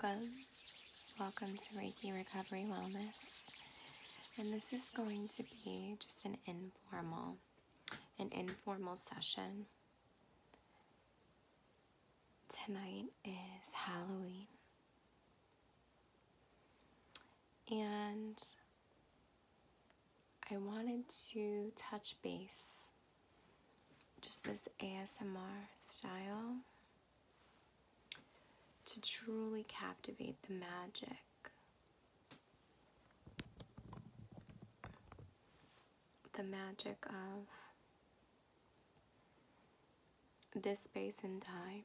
Welcome, welcome to Reiki Recovery Wellness. And this is going to be just an informal, an informal session. Tonight is Halloween. And I wanted to touch base just this ASMR style to truly captivate the magic the magic of this space and time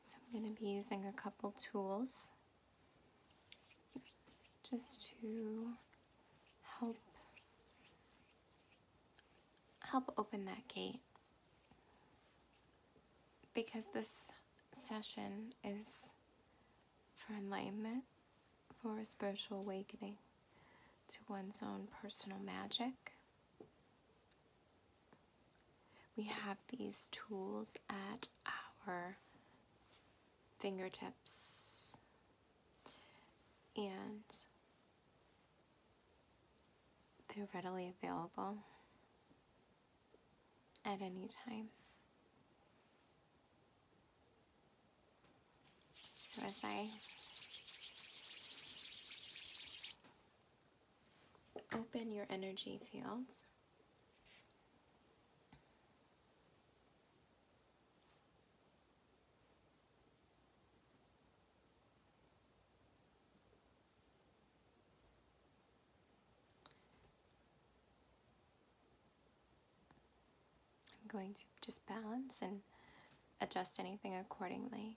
So I'm going to be using a couple tools just to help help open that gate because this session is for enlightenment, for a spiritual awakening to one's own personal magic. We have these tools at our fingertips and they're readily available at any time. So as I open your energy fields, I'm going to just balance and adjust anything accordingly.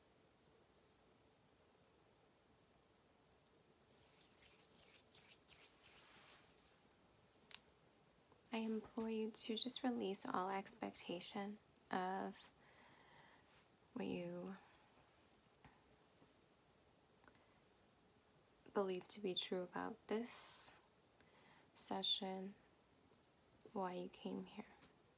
I implore you to just release all expectation of what you believe to be true about this session, why you came here.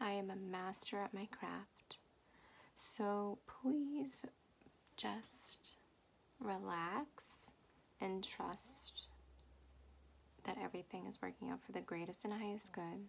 I am a master at my craft, so please just relax, and trust that everything is working out for the greatest and highest good.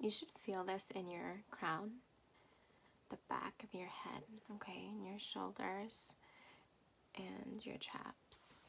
You should feel this in your crown, the back of your head, okay, and your shoulders and your traps.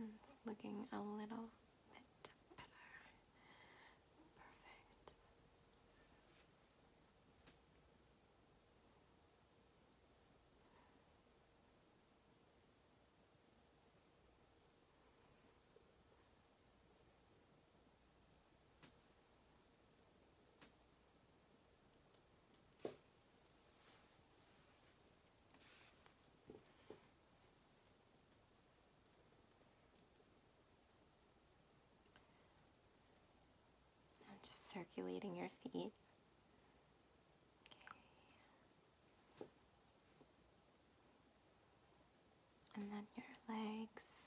Mm, it's looking a little bit better. Perfect. I'm just circulating your feet. And then your legs.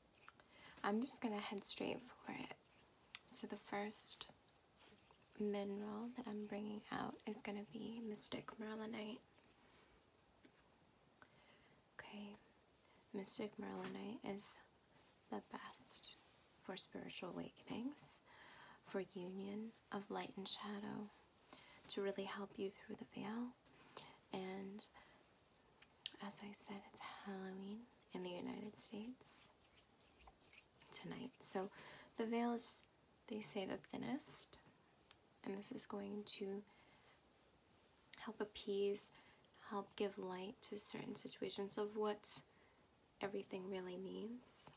I'm just gonna head straight for it. So the first mineral that I'm bringing out is gonna be Mystic Merlinite. Okay, Mystic Merlinite is the best for spiritual awakenings, for union of light and shadow, to really help you through the veil, and as I said, it's Halloween in the United States tonight. So the veil is, they say, the thinnest. And this is going to help appease, help give light to certain situations of what everything really means.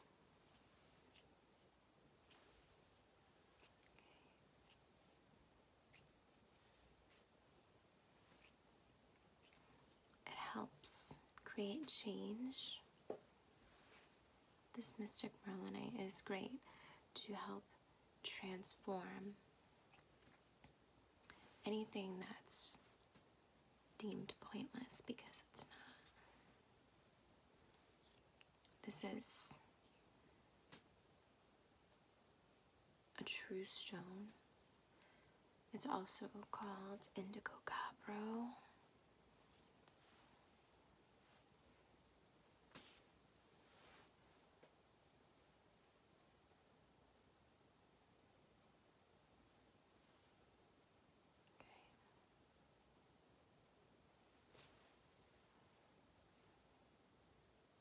It helps create change. This mystic merlinite is great to help transform anything that's deemed pointless because it's not. This is a true stone. It's also called indigo cabro. Okay.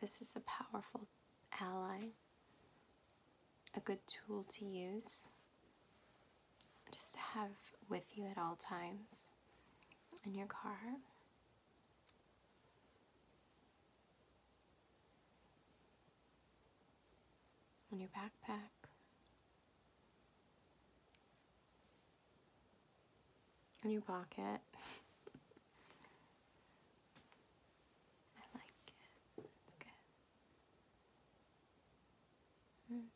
This is a powerful ally, a good tool to use, just to have with you at all times in your car on your backpack. In your pocket. I like it. It's good. Mm.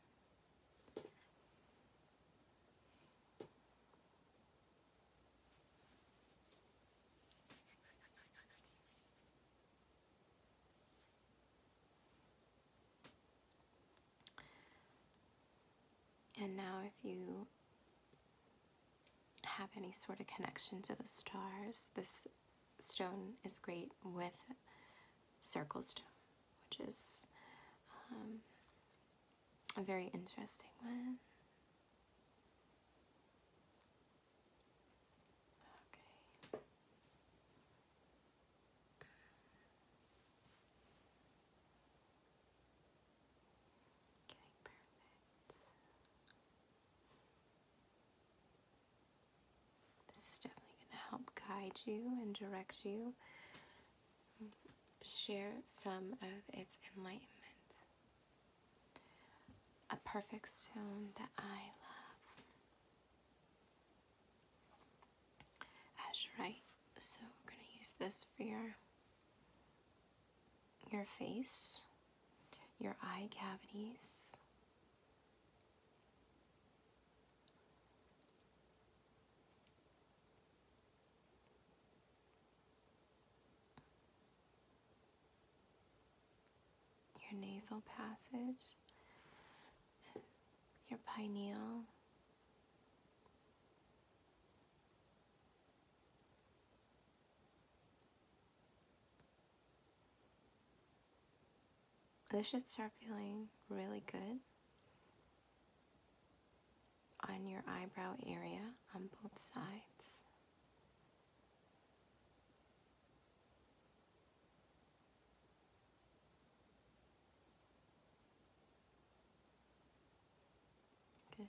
And now, if you have any sort of connection to the stars, this stone is great with circle stone, which is um, a very interesting one. Okay. Getting perfect. This is definitely going to help guide you and direct you share some of its enlightenment. A perfect stone that I love. Azurite. So we're going to use this for your your face, your eye cavities, your nasal passage, your pineal. This should start feeling really good on your eyebrow area on both sides. Good.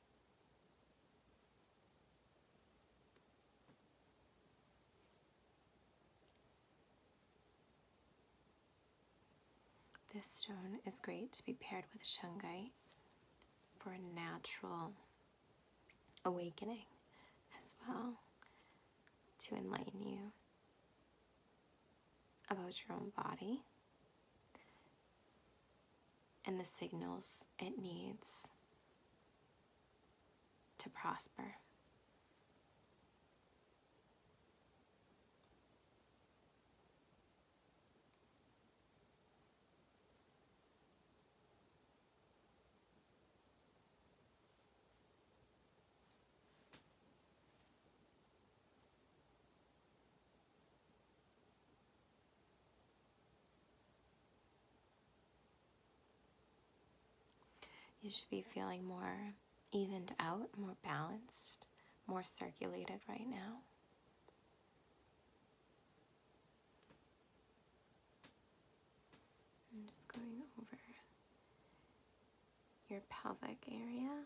This stone is great to be paired with shungite for a natural awakening as well to enlighten you about your own body and the signals it needs to prosper. You should be feeling more evened out, more balanced, more circulated right now. I'm just going over your pelvic area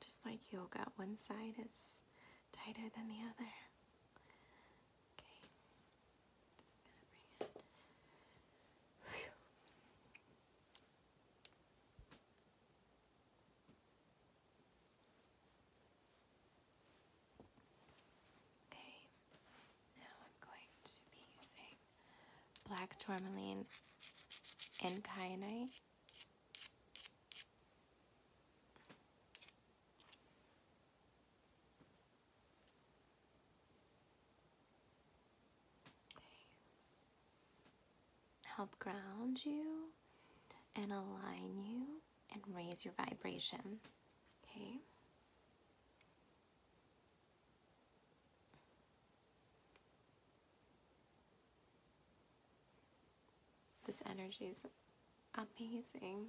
Just like yoga, one side is tighter than the other. Okay, Okay, now I'm going to be using black tourmaline and kyanite. Okay help ground you and align you and raise your vibration. Okay. This energy is amazing.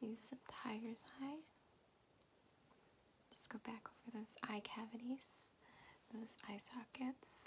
Use some tiger's eye. Just go back over those eye cavities, those eye sockets.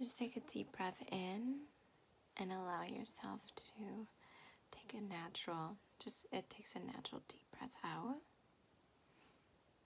Just take a deep breath in and allow yourself to take a natural, just it takes a natural deep breath out.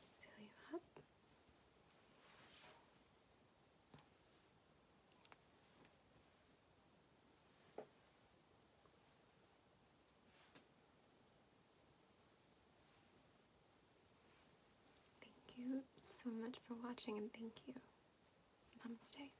Seal you up. Thank you so much for watching and thank you. Namaste.